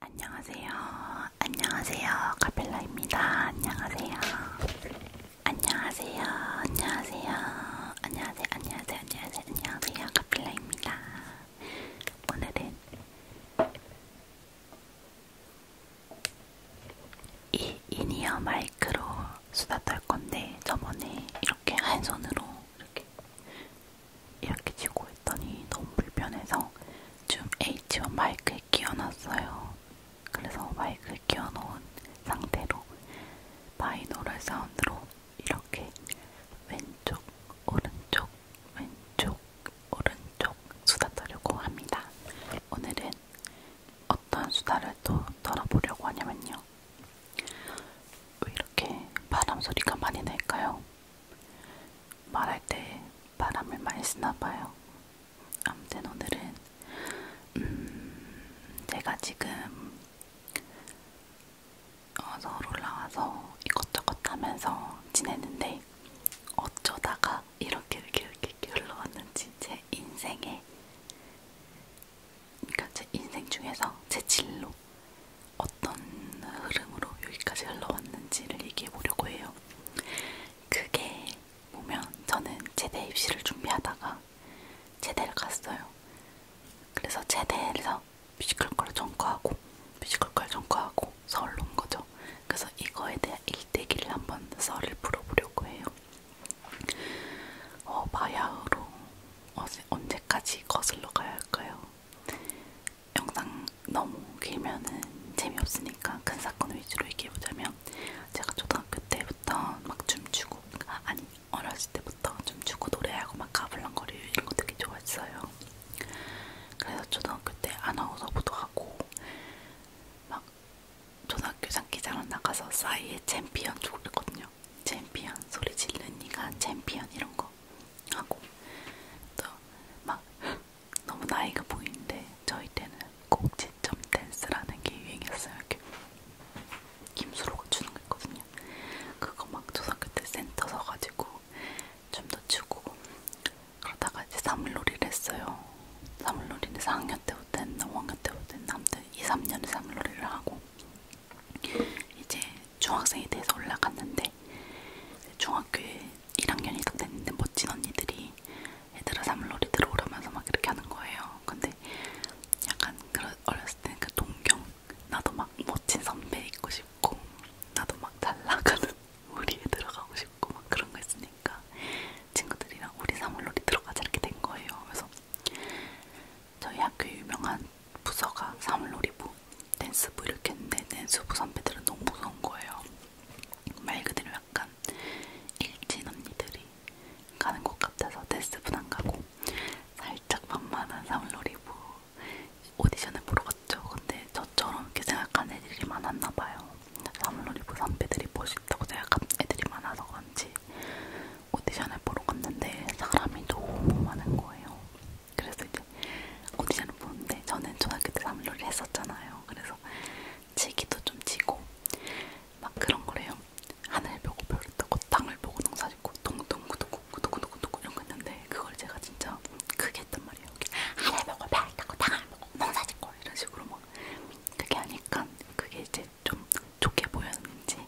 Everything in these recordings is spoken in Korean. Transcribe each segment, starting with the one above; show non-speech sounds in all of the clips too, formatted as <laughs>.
안녕하세요. 안녕하세요. 카펠라입니다. 안녕하세요. 안녕하세요. 안녕하세요. 안녕하세요. 안녕하세요. 안녕하세요. 안녕하세요. 카펠라입니다. 오늘은 이 이니어 마이크로 수다 떨 건데 저번에 이렇게 한 손으로 이렇게 이렇게 쥐고 있더니 너무 불편해서 줌 H1 마이크에 끼워놨어요. 그래서 마이크에 끼워놓은 상태로 바이노럴 사운드로 이렇게 왼쪽, 오른쪽, 왼쪽, 오른쪽 수다 떨려고 합니다. 오늘은 어떤 수다를 또 떨어보려고 하냐면요. 왜 이렇게 바람 소리가 많이 날까요? 말할 때 바람을 많이 쓰나봐요. 아무튼 오늘은 음, 제가 지금 어, 서울 올라와서 이것저것 하면서 지냈는데 어쩌다가 이렇게 이렇게 이렇게, 이렇게 흘러왔는지 제 인생에 그러니까 제 인생 중에서 제 진로 어떤 흐름으로 여기까지 흘러왔는지를 얘기해 보려고 해요. 그게 보면 저는 제대 입시를 준비하다가 제대를 갔어요. 그래서 제대에서 뮤지컬과를 전과하고 뮤지컬과를 전과하고 서울로 온 거죠. 그래서 이거에 대한 일대기를 한번 썰을 풀어보려고 해요. 어, 마야흐로 언제까지 거슬러 가야 할까요? 영상 너무 길면은 재미없으니까 큰 사건 위주로 얘기해보자면 제가 초등학교 때부터 막 춤추고 아, 아니 어렸을 때부터 춤추고 노래하고 막 가불렁거리고 이런 거 되게 좋아했어요. 그래서 초등학교 때 아나운서부도 하고 막 초등학교 장기자로 나가서 싸이의 챔피언 좋아했거든요. 챔피언 소리 지르니가 챔피언 이런 거 하고 또 막 너무 나이가 보이는데 저희 때는 꼭지점 댄스라는 게 유행했어요. 이렇게 김수로가 추는 거 있거든요. 그거 막 초등학교 때 센터 서가지고 춤도 추고 그러다가 이제 사물놀이를 했어요. 사물놀이는 4학년 때부터 했나 5학년 때부터 했나 아무튼 2, 3년에 사물놀이를 하고 이제 중학생이 돼서 올라갔는데 중학교 1학년이 딱 됐는데 멋진 언니들이 얘들아 사물놀이 들어오라면서 막 이렇게 하는 거예요. 근데 약간 그런 어렸을 때는 그 동경 나도 막 멋진 선배 있고 싶고 나도 막 잘나가는 <laughs> 우리에 들어가고 싶고 막 그런 거 있으니까 친구들이랑 우리 사물놀이 들어가자 이렇게 된 거예요. 그래서 저희 학교 유명한 부서가 사물놀이부 댄스부 이렇게 했는데 댄스부 선배들은 너무 무서운 거예요. 말 그대로 약간 일진 언니들이 가는 것 같아서 댄스부 안 가고 살짝 만만한 사물놀이부 오디션을 보러 갔죠. 근데 저처럼 이렇게 생각하는 애들이 많았나 봐요. 사물놀이부 선배들이 멋있다고 생각하는 애들이 많아서 그런지 오디션을 보러 갔는데 사람이 너무 많은 거예요. 그래서 이제 오디션을 보는데 저는 초등학교 때 삼루를 했었잖아요. 그래서 치기도 좀 치고 막 그런 거래요. 하늘 보고 별 뜨고 땅을 보고 농사 짓고 동동구동구구구구구구 이런 거 있는데 그걸 제가 진짜 크게 했단 말이에요. 하늘 보고 별 뜨고 땅을 보고 농사 짓고 이런 식으로 막 그게 하니까 그게 이제 좀 좋게 보였는지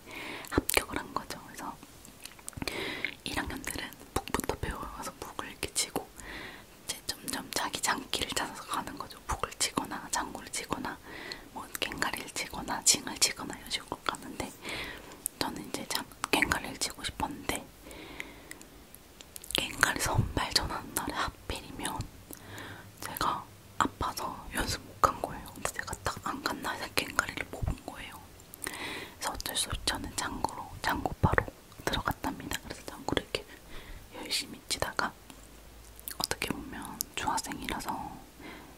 합격을 한 거죠. 그래서 1학년들은 북부터 배워서 북을 이렇게 치고 이제 점점 자기 장기를 찾아서 가는 거죠. 북을 치거나 장구를 치거나 뭐 갱가리를 치거나 징을 치거나 이런 식으로 가는데 저는 이제 장, 갱가리를 치고 싶었는데 갱가리 선발 전하는 날에 하필이면 제가 아파서 연습 못간 거예요. 근데 제가 딱안 갔나 해서 갱가리를 뽑은 거예요. 그래서 어쩔 수 없이 저는 장고로 장고파로 들어갔답니다. 그래서 장고를 이렇게 열심히 치다가 어떻게 보면 중학생이라서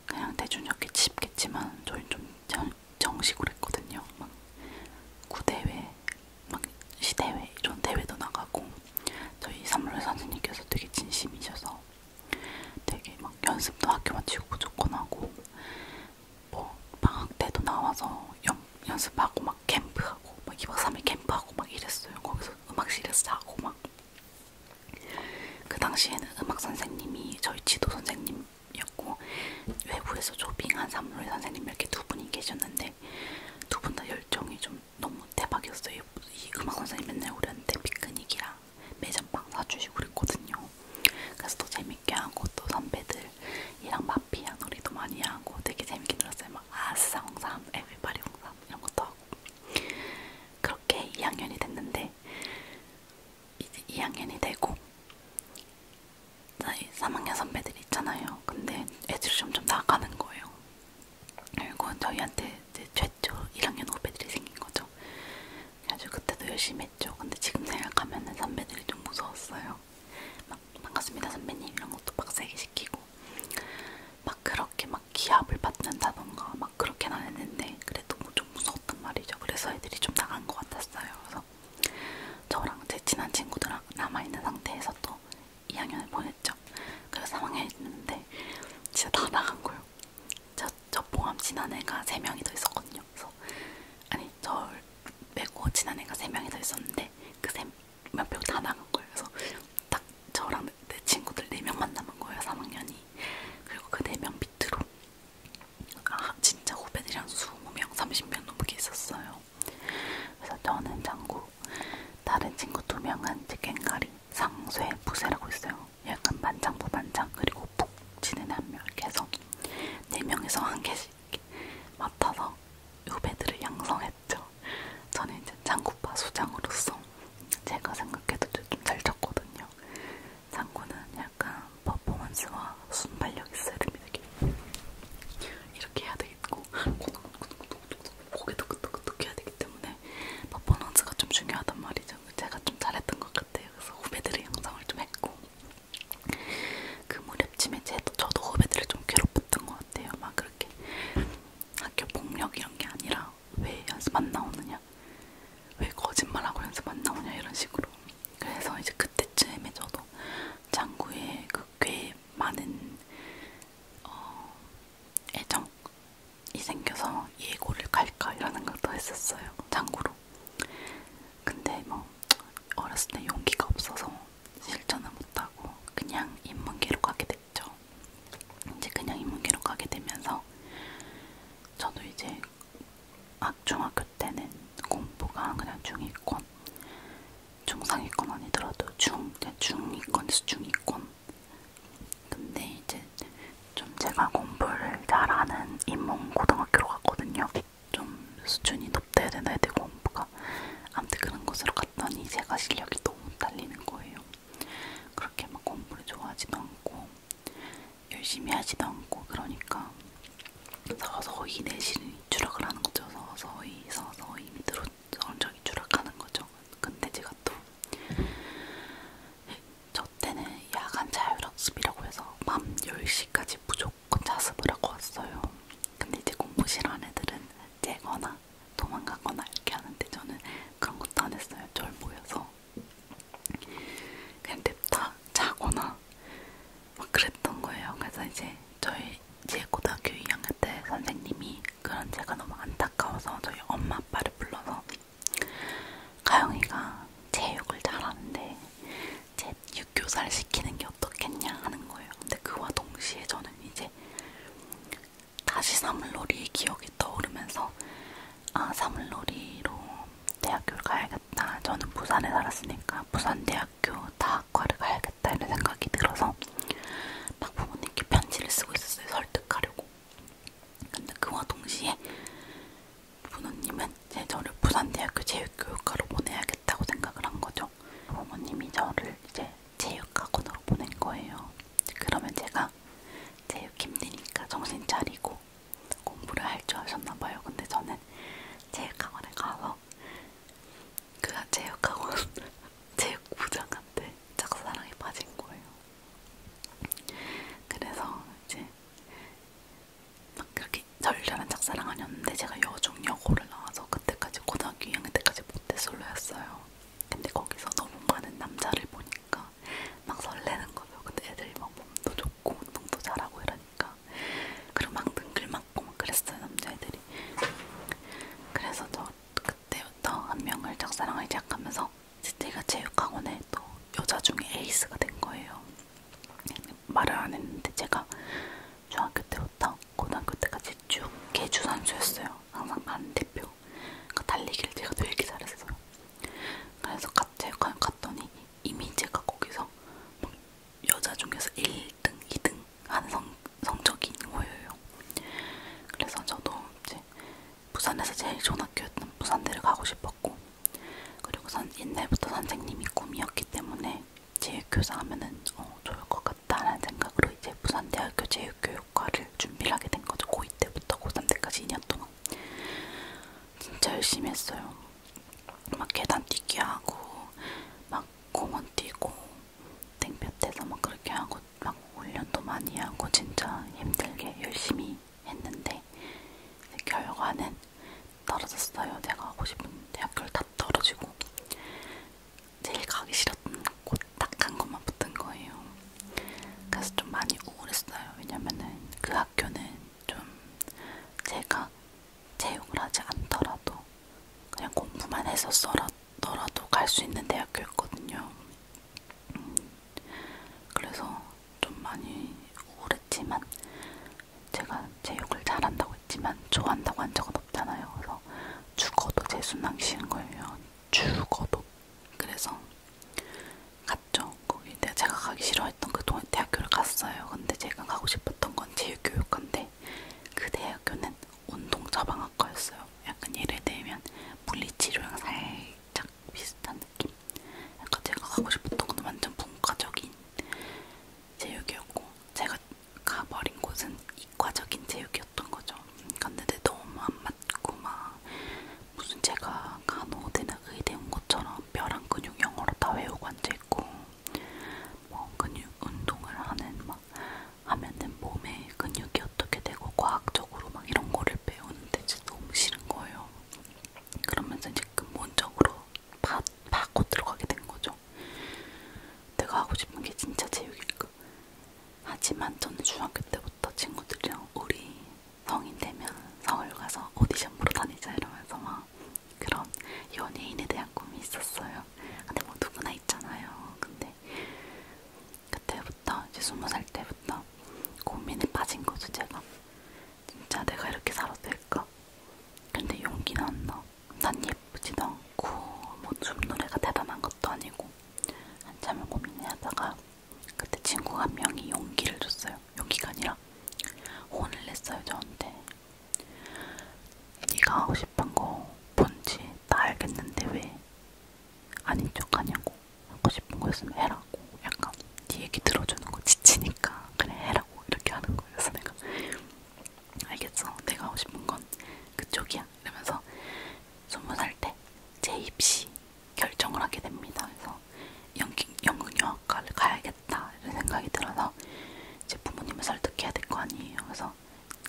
그냥 대중적게 칩겠지만 저희 좀 정식으로 했거든요. 막 구대회, 막 시대회 이런 대회도 나가고 저희 삼월 선생님께서 되게 진심이셔서 되게 막 연습도 학교 마치고 무조건 하고 뭐 방학 때도 나와서 연, 연습하고 막 캠프하고 막 2박 3일 캠프하고 막 이랬어요. 거기서 음악실에서 자고 막. 그 당시에는 음악 선생님이 저희 지도 선생님이었고 외부에서 조빙한 삼루의 선생님 이렇게 두 분이 계셨는데 두 분 다 열정이 좀 너무 대박이었어요. 이 음악 선생님 맨날 우리한테 피크닉이랑 매점빵 사주시고 그랬거든요. 그래서 더 재미 재밌게 하고 또 선배들이랑 마피아 놀이도 많이 하고 되게 재밌게 놀았어요. 막 아싸 홍삼, 에비바리 홍삼 이런 것도 하고 그렇게 2학년이 됐는데 이제 2학년이 되고 3학년 선배들이 있잖아요. 근데 애들이 점점 나가는 거예요. 그리고 저희한테 이제 최초 1학년 후배들이 생긴 거죠. 아주 그때도 열심히 했죠. 근데 지금 생각하면 선배들이 좀 무서웠어요. 막 반갑습니다 선배님 이런 것도 빡세게 시키고 막 그렇게 막 기합을 받는다던가 막 그렇게는 안 했는데 그래도 뭐 좀 무서웠단 말이죠. 그래서 애들이 좀 나간 것 같았어요. 그래서 저랑 제 친한 친구들랑 남아있는 상태에서 또 2학년을 보냈죠. 그래서 3학년이 됐는데 진짜 다 나간 거예요. 저, 저 포함 지난 애가 3명이 더 있었거든요. 그래서 아니 절 빼고 친한 애가 세 명이 더 있었는데 그 세명 빼고 다 나간 거예요. 그래서 딱 저랑 내 친구들 네 명만 남은 거예요. 3학년이 그리고 그 네 명 밑으로 아 진짜 후배들이랑 20명, 30명 넘게 있었어요. 그래서 저는 장구, 다른 친구 두 명은 갱가리, 상쇠, 부세라고 있어요. 약간 반장, 부반장, 그리고 푹 지는 한 명 이렇게 해서 네 명에서 한 개씩 맡아서 후배들을 양성했죠. 저는 이제 장구파 수장으로서 제가 생각해도 좀잘 쳤거든요. 장구는 약간 퍼포먼스와 순발력이 세릅니다. 이렇게 해야 되겠고 고개도 끄덕끄덕 해야 되기 때문에 퍼포먼스가 좀 중요하단 말이죠. 제가 좀 잘했던 것 같아요. 그래서 후배들의 영상을 좀 했고 그 무렵쯤에 제도, 저도 후배들을 좀 괴롭혔던 것 같아요. 막 그렇게 학교 폭력 이런 게 아니라 왜 연습 안 나오느냐, 왜 거짓말하고 연습 안 나오냐 이런 식으로. 그래서 이제 그때쯤에 저도 장구에 그 꽤 많은 어, 애정이 생겨서 예고를 갈까 이러는 것도 했었어요. 장구로 있어요. 근데 뭐 어렸을 때 용기가 없어서 실천을 못하고 그냥 인문계로 가게 됐죠. 이제 그냥 인문계로 가게 되면서 저도 이제 중학교 때는 공부가 그냥 중위권, 중상위권 아니더라도 중, 중위권에서 중위권. 근데 이제 좀 제가 공부를 잘하는 인문고등학교로 갔거든요. 좀 수준이 높다 해야 되나 해야 되고 공부가 아무튼 그런 곳으로 갔더니 제가 실력이 너무 딸리는 거예요. 그렇게 막 공부를 좋아하지도 않고 열심히 하지도 않고 그러니까 서서히 내실이 추락을 하는 거죠. 서서히 서서히 밑으로 성적이 추락하는 거죠. 근데 제가 또 저 때는 야간 자율학습이라고 해서 밤 10시까지 무조건 놓고 자습을 하고 왔어요. 근데 이제 공부실 안 애들은 째거나 도망가거나 이렇게 하는데 저는 그런 것도 안 했어요. 절 모여서 그냥 냅다 자거나 막 그랬던 거예요. 그래서 이제 저희 제 고등학교 2학년 때 선생님이 그런 제가 너무 안타까워서 저희 엄마 아빠를 불러서 가영이가 체육을 잘하는데 제 육교사를 시키는 게 어떻겠냐 하는 거예요. 근데 그와 동시에 저는 이제 다시 사물놀이의 기억이 떠오르면서 아 사물놀이로 대학교를 가야겠다. 저는 부산에 살았으니까 부산대학교 다학과를 가야겠다 이런 생각이 들어서 막 부모님께 편지를 쓰고 있었어요. 설득하려고. 근데 그와 동시에 부모님은 제 저를 부산대학교 체육교육과로 보내야겠다고 생각을 한 거죠. 부모님이 저를 이제 체육학원으로 보낸 거예요. 그러면 제가 체육 힘드니까 정신 차리고 공부를 할 줄 아셨나 봐요. 근데 저는 체육학원에 가서 그 체육학원 <laughs> 체육부장한테 짝사랑에 빠진 거예요. 그래서 이제 막 그렇게 절렬한 짝사랑 아니었는데 제가 여중 여고를 나와서 그때까지 고등학교 2학년 때까지 모태솔로였어요. 근데 거기서 너무 많은 남자를 보니까 막 설레는 거예요. 근데 애들이 막 몸도 좋고 운동도 잘하고 이러니까 그리고 막 능글맞고 막 그랬어요 남자애들이. 그래서 저 그때부터 한 명을 짝사랑을 시작하면서 제가 체육학원에 또 여자 중에 에이스가 된 거예요. 말을 안 했는데 제가 중학교 때부터 고등학교 때까지 쭉 개주 선수였어요. 항상 반 대표. 그러니까 달리기를 제가 되게 잘했어요. 그래서 제가 갔더니 이미 제가 거기서 막 여자 중에서 1등, 2등 하는 성, 성적이 있는 거예요. 그래서 저도 이제 부산에서 제일 좋은 학교였던 부산대를 가고 싶었고 그리고 선, 옛날부터 선생님이 꿈이었기 때문에 체육교사 하면은 어, 좋을 것 같다라는 생각으로 이제 부산대학교 체육교육과를 준비를 하게 된 거죠. 고2 때부터 고3 때까지 2년 동안 진짜 열심히 했어요. 막 계단 뛰기 하고 막 공원 뛰고 땡볕에서 막 그렇게 하고 막 훈련도 많이 하고 진짜 힘들게 열심히 했는데 결과는 떨어졌어요. 제가 가고 싶은 대학교를 다 떨어지고 제일 가기 싫었던 곳 딱한 곳만 붙은 거예요. 그래서 좀 많이 우울했어요. 왜냐면은 그 학교는 좀 제가 체육을 하지 않더라도 그냥 공부만 해서 써라더라도 갈 수 있는 대학교였거든요. 음, 그래서 좀 많이 우울했지만 제가 제 욕을 잘한다고 했지만 좋아한다고 한 적은 없잖아요. 그래서 죽어도 제 순항시는 거예요. 죽어도. 그래서 갔죠. 거기 내가 제가 가기 싫어했던 그 대학교를 갔어요. 근데 제가 가고 싶었던 건 체육교육과인데 그 대학교는 운동자방학과였어요. 약간 예를 들면 물리치료랑 살짝 비슷한 느낌. 약간 제가 가고 싶었던 건 완전 문과적인 제육이었고 제가 가버린 곳은 이과적인 제육이었던 거죠. 갔는데 그러니까 너무 안 맞고 막 무슨 제가 간호대나 의대 온 것처럼 뼈랑 근육 영어로 다 외우고 앉아있고 뭐 근육 운동을 하는 막 하면은 몸에 근육이 어떻게 되고 과학적으로 막 이런 거를 배우는데 진짜 너무 싫은 거예요. 그러면서 이제 근본적으로 바, 바꿔 들어가게 된 거죠. 내가 하고 싶은 게 진짜 제육일까? 하지만 저는 중학교 때부터 친구들이랑 우리 성인 되면 서울 가서 오디션 보러 다니자 이러면서 막 그런 연예인에 대한 꿈이 있었어요. 근데 뭐 누구나 있잖아요. 근데 그때부터 이제 스무 살 때부터 고민에 빠진 거죠 제가. 진짜 내가 이렇게 살아도 될까? 있어. 근데 용기는 안 나. 난 예쁘지도 않고 뭐 춤노래가 대단한 것도 아니고 한참을 고민하다가 그때 친구 한 명이 용기를 줬어요. 용기가 아니라 혼을 냈어요 저한테. 네가 하고 싶은 거 뭔지 다 알겠는데 왜 아닌 척하냐고 하고 싶은 거였으면 해라고 약간 네 얘기 들어주는 거 지치니까 그래 해라 하자고 이렇게 하는 거예요. 그래서 내가 알겠어. 내가 하고 싶은 건 그쪽이야. 이러면서 스무 살때 제 입시 결정을 하게 됩니다. 그래서 연극영화과를 가야겠다 이런 생각이 들어서 제 부모님을 설득해야 될 거 아니에요. 그래서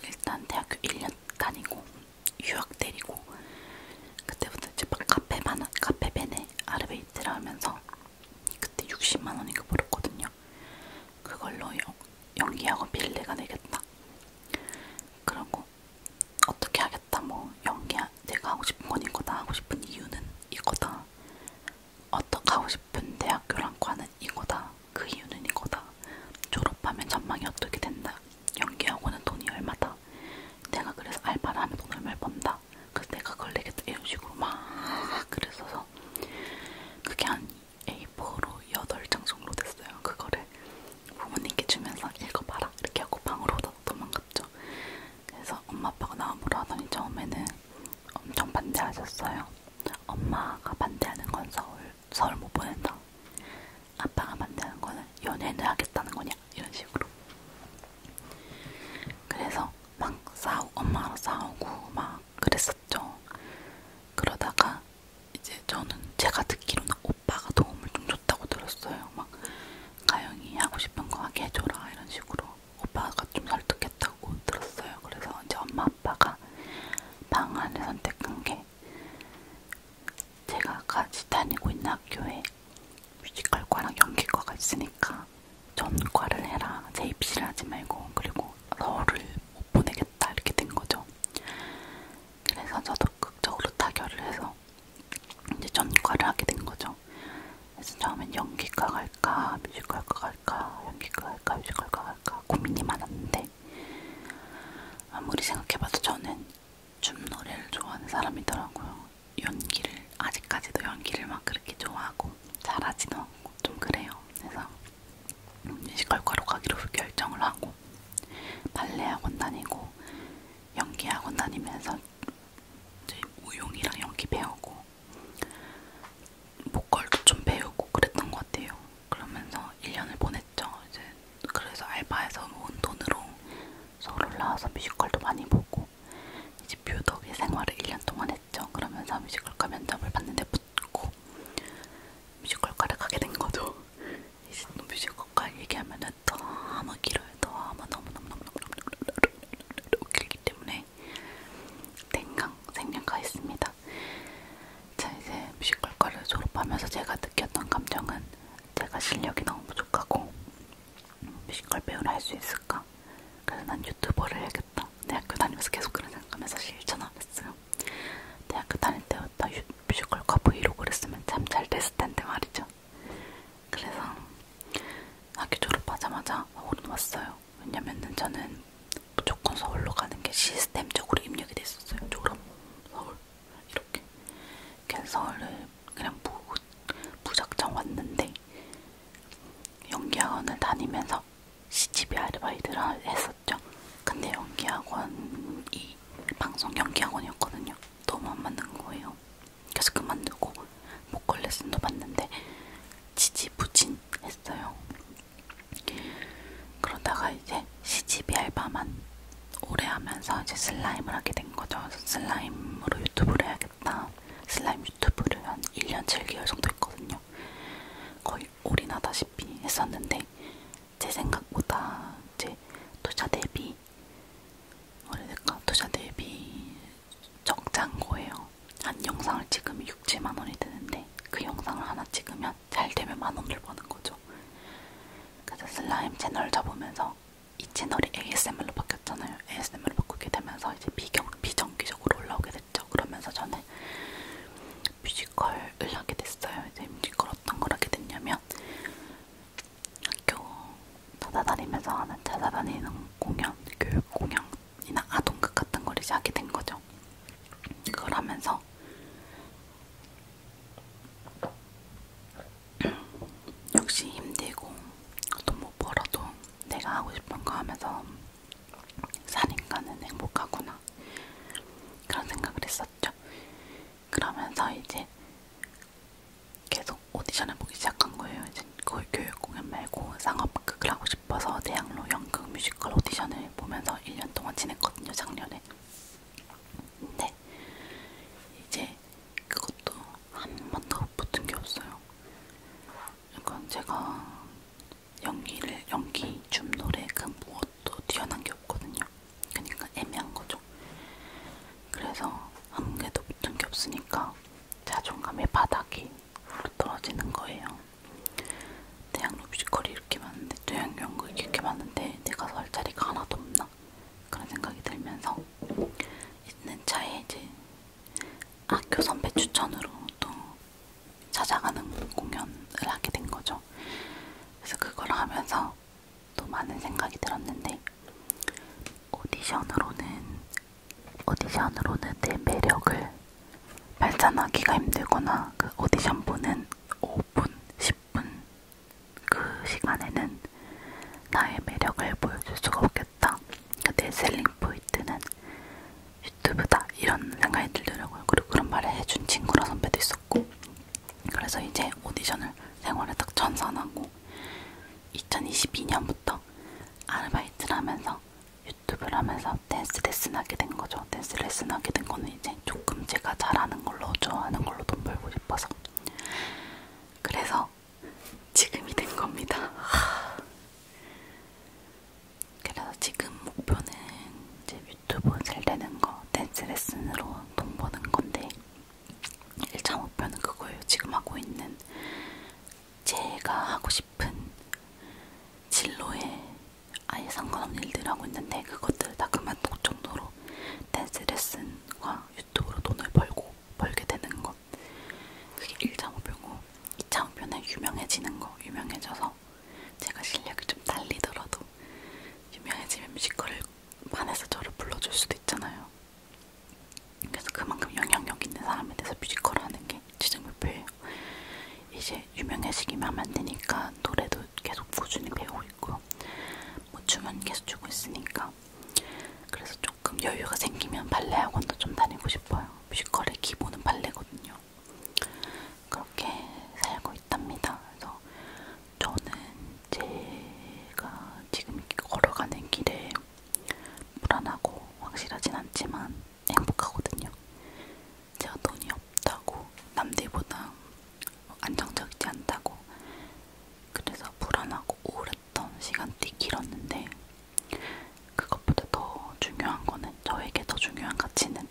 일단 대학교 1년 다니고 유학 데리고 그때부터 이제 카페 반 카페 베네 아르베이 데이트를 하면서 그때 60만 원인가 벌었거든요. 그걸로 연기하고 빌리가 되겠다. 그러고 어떻게 하겠다. 뭐 연기 내가 하고 싶은 건 이거다. 하고 싶은 이유는 이거다. 어떻게 하고 싶은 대학교랑 과는 이거다. 그 이유는 이거다. 졸업하면 전망이 어떻게 된다. 연기하고는 돈이 얼마다. 내가 그래서 알바를 하면 돈 얼마를 번다. 걸린다. 그래서 내가 걸리겠다. 이런 식으로 막 그랬어서 그게 한 A4로 8장 정도 됐어요. 그거를 부모님께 주면서 읽어봐라. 이렇게 하고 방으로 도망갔죠. 그래서 엄마 아빠가 나와보라 하더니 처음에는 엄청 반대하셨어요. 엄마가 반대하는 건 서울, 서울 못 보낸다. 아빠가 반대하는 거는 연애는 하겠다는 거냐 이런 식으로. 그래서 막 싸우 엄마랑 싸우고 막 그랬었죠. 그러다가 이제 저는 제가 듣기로는 오빠가 도움을 좀 줬다고 들었어요. 막 가영이 하고 싶은 거 하게 해줘라 이런 식으로 오빠가 좀 설득했다고 들었어요. 그래서 이제 엄마 아빠가 방안을 선택한 게 제가 같이 다니고 있는 학교에 뮤지컬과랑 연기과가 있으니까 전과를 해라 제 입시를 하지 말고 그리고 너를 못 보내겠다 이렇게 된 거죠. 그래서 저도 극적으로 타결을 해서 이제 전과를 하게 된 거죠. 그래서 처음엔 연기과 갈까 뮤지컬과 갈까 연기과 갈까 뮤지컬과 갈까 고민이 많았는데 아무리 생각해봐도 저는 춤 노래를 좋아하는 사람이더라고요. 연기를 아직까지도 연기를 막 그렇게 좋아하고 잘하지도 않고 좀 그래요. 그래서 뮤지컬과로 가기로 결정을 하고 발레 학원 다니고 연기 학원 다니면서 이제 우용이랑 연기 배우고 목걸도 좀 배우고 그랬던 것 같아요. 그러면서 1년을 보냈죠. 이제 그래서 알바에서 모은 돈으로 서울 올라와서 뮤지컬도 많이 보고 하고 이제 뷰덕의 생활을 1년 동안 했죠. 그러면서 뮤지컬과 면접을 봤는데 붙고 뮤지컬과를 가게 된 거죠. <laughs> 이제 또 뮤지컬과 얘기하면은 너무 길어요. 너무 너무 너무 너무 너무 길기 때문에 생강 생략가 있습니다. 자 이제 뮤지컬과를 졸업하면서 제가 느꼈던 감정은 제가 실력이 너무 부족하고 뮤지컬 배우를 할 수 있을까? 그래서 난 유튜버를 해야겠다. 대학교 다니면서 계속 그런 생각하면서 실천 안 했어요. 대학교 다닐 때부터 유, 뮤지컬과 브이로그를 쓰면 참 잘 됐을 텐데 말이죠. 그래서 학교 졸업하자마자 서울은 왔어요. 왜냐면은 저는 무조건 서울로 가는 게 시스템적으로 입력이 됐었어요. 졸업, 서울 이렇게. 그래서 서울을 그냥 무, 무작정 왔는데 연기학원을 다니면서 CGV 아르바이트를 했었죠. 근데 연기학원이 방송 연기학원이었거든요. 너무 안 맞는 거예요. 그래서 그만두고 보컬 레슨도 받는데 지지부진 했어요. 그러다가 이제 CGV 알바만 오래 하면서 이제 슬라임을 하게 된 거죠. 슬라임으로 유튜브를 해야겠다. 슬라임 유튜브를 한 1년 7개월 정도 했거든요. 거의 올인하다시피 했었는데 제 생각보다 이제 투자 대비 어래될까 투자 대비 적장 거예요. 한 영상을 찍으면 6, 7만 원이 드는데 그 영상을 하나 찍으면 잘 되면 만 원을 버는 거죠. 그래서 슬라임 채널 접으면서 이 채널이 ASMR로 바뀌었잖아요. ASMR로 바꾸게 되면서 이제 비경, 비정기적으로 올라오게 됐죠. 그러면서 저는 뮤지컬을 하게 됐어요. 이제 뮤지컬 어떤 걸 하게 됐냐면 학교 찾아다니면서 하는 찾아다니는 공연, 교육 공연이나 아동극 같은 걸 이제 하게 된 거죠. 그걸 하면서 <clears throat> 역시 힘들고 돈못 뭐 벌어도 내가 하고 싶은 거 하면서 사니까는 행복하구나 그런 생각을 했었죠. 그러면서 이제 계속 오디션을 보기 시작한 거예요. 이제 교육 공연 말고 상업극을 하고 싶어서 대학로 연극 뮤지컬 오디션을 보면서 1년 동안 지냈거든요, 작년에. 근데 이제 그것도 한 번도 붙은 게 없어요. 약간 그러니까 제가 연기를 연기, 춤, 노래 그 무엇도 뛰어난 게 없거든요. 그러니까 애매한 거죠. 그래서 한 개도 붙은 게 없으니까 자존감의 바닥이 떨어지는 거예요. 대학 뮤지컬이 이렇게 많은데 대학 연극이 이렇게 많은데 내가 설 자리가 하나도 없나 그런 생각이 들면서 있는 차에 이제 학교 선배 추천으로 또 찾아가는 공연을 하게 된 거죠. 그래서 그걸 하면서 또 많은 생각이 들었는데 오디션으로는 오디션으로는 내 매력을 발산하기가 힘들거나 그 오디션 보는 5분, 10분 그 시간에는 나의 매력을 보여줄 수가 없게 좋겠다. 내 셀링 포인트는 유튜브다 이런 생각이 들더라고요. 그리고 그런 말을 해준 친구라 선배도 있었고 그래서 이제 오디션을 생활에 딱 전산하고 2022년부터 아르바이트를 하면서 유튜브를 하면서 댄스 레슨 하게 된 거죠. 댄스 레슨 하게 된 거는 이제 조금 제가 잘하는 걸로 좋아하는 걸로 돈 벌고 싶어서 그래서 지금이 된 겁니다. 그래서 지금 목표는 이제 유튜브 잘 되는 거, 댄스 레슨으로 돈 버는 건데 1차 목표는 그거예요. 지금 하고 있는 제가 하고 싶은 진로에 아예 상관없는 일들을 하고 있는데 그것들을 다 그만둘 정도로 댄스 레슨과 유튜브로 돈을 벌고 벌게 되는 거것 그게 1차 목표고 2차 목표는 유명해지는 거 유명해져서 제가 실력이 좀 딸리더라도 유명해지면 뮤지컬을 반에서 저를 불러줄 수도 있잖아요 그래서 그만큼 영향력 있는 사람에 대해서 뮤지컬 하는 게 지정 목표예요 이제 유명해지기만 하면 되니까 노래도 계속 꾸준히 배우고 있고 뭐 춤은 계속 추고 있으니까 그래서 조금 여유가 생기면 발레 학원도 좀 다니고 싶어요. 뮤지컬의 기본은 발레거든요. 그렇게 살고 있답니다. 그래서 저는 제가 지금 걸어가는 길에 불안하고 확실하진 않지만 행복하거든요. 제가 돈이 없다고 남들보다 안정적이지 않다고 그래서 불안하고 우울해 기다렸던 시간이 길었는데 그것보다 더 중요한 거는 저에게 더 중요한 가치는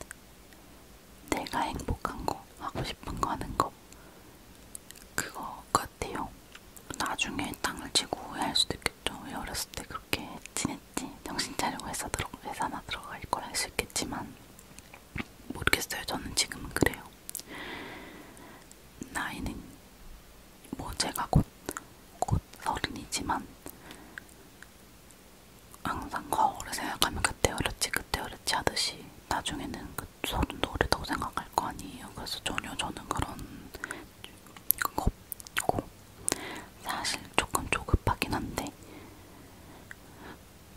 내가 행복한 거 하고 싶은 거 하는 거 그거 같아요. 나중에 땅을 치고 후회할 수도 있겠죠. 왜 어렸을 때 그렇게 지냈지? 정신 차리고 회사 들어 회사나 들어갈 걸 할 수 있겠지만 모르겠어요. 저는 지금은 그래요. 나이는 뭐 제가 곧, 곧 서른이지만 항상 거울을 생각하면 그때 어렸지 그때 어렸지 하듯이 나중에는 그 서른도 어리다고 생각할 거 아니에요. 그래서 전혀 저는 그런 거 없고 사실 조금 조급하긴 한데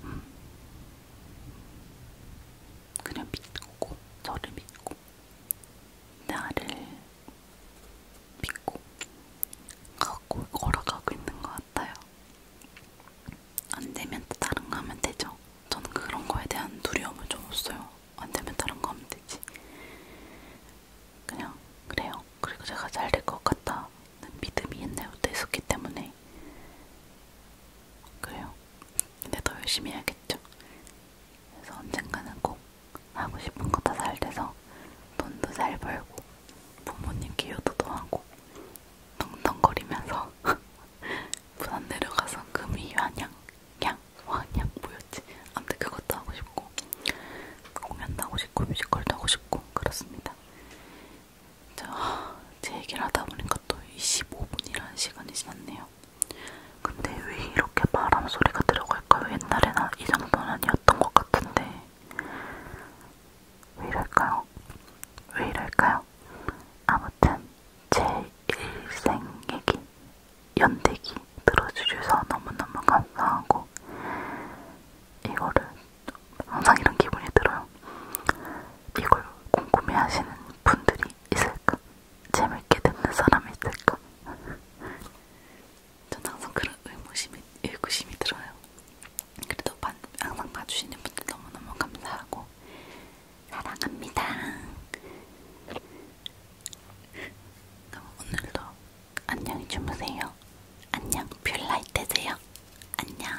음, 그냥 믿고 저를 믿고 나를 믿고 갖고 걸어가고 있는 것 같아요. 안 되면 또 다른 거 하면 되죠. 저는 그런 거에 대한 두려움은 좀 없어요. 안 되면 다른 거 하면 되지. 그냥 그래요. 그리고 제가 잘 될 것 같다는 믿음이 옛날부터 있었기 때문에 그래요. 근데 더 열심히 해야겠죠. 그래서 언젠가는 꼭 하고 싶은 거 다 잘 돼서 돈도 잘 벌고 부모님 기여도도 하고 덩덩거리면서 <laughs> 부산 내려가서 금이 환양, 양, 환양 뭐였지? 아무튼 그것도 하고 싶고 공연도 하고 싶고 뮤지컬도 하고 싶고 그렇습니다. 저, 제 얘기를 하다 보니까 또 25분이라는 시간이 지났네요. 근데 왜 이렇게 바람 소리가 들어갈까요? 옛날에는 이 정도는 아니었던 것 같은데 왜 이럴까요? 왜 이럴까요? 아무튼 제 일생 얘기, 연대기 들어주셔서 너무너무 감사하고 이거를 항상 이런 기분이 들어요. 이걸 궁금해하시는 분들이 있을까? 재밌게 듣는 사람이 있을까? 전 항상 그런 의무심이, 의구심이 들어요. 그래도 반, 항상 봐주시는 분들 너무너무 감사하고 사랑합니다. 그럼 오늘도 안녕히 주무세요. 안녕, 뷰라이트 되세요. 안녕.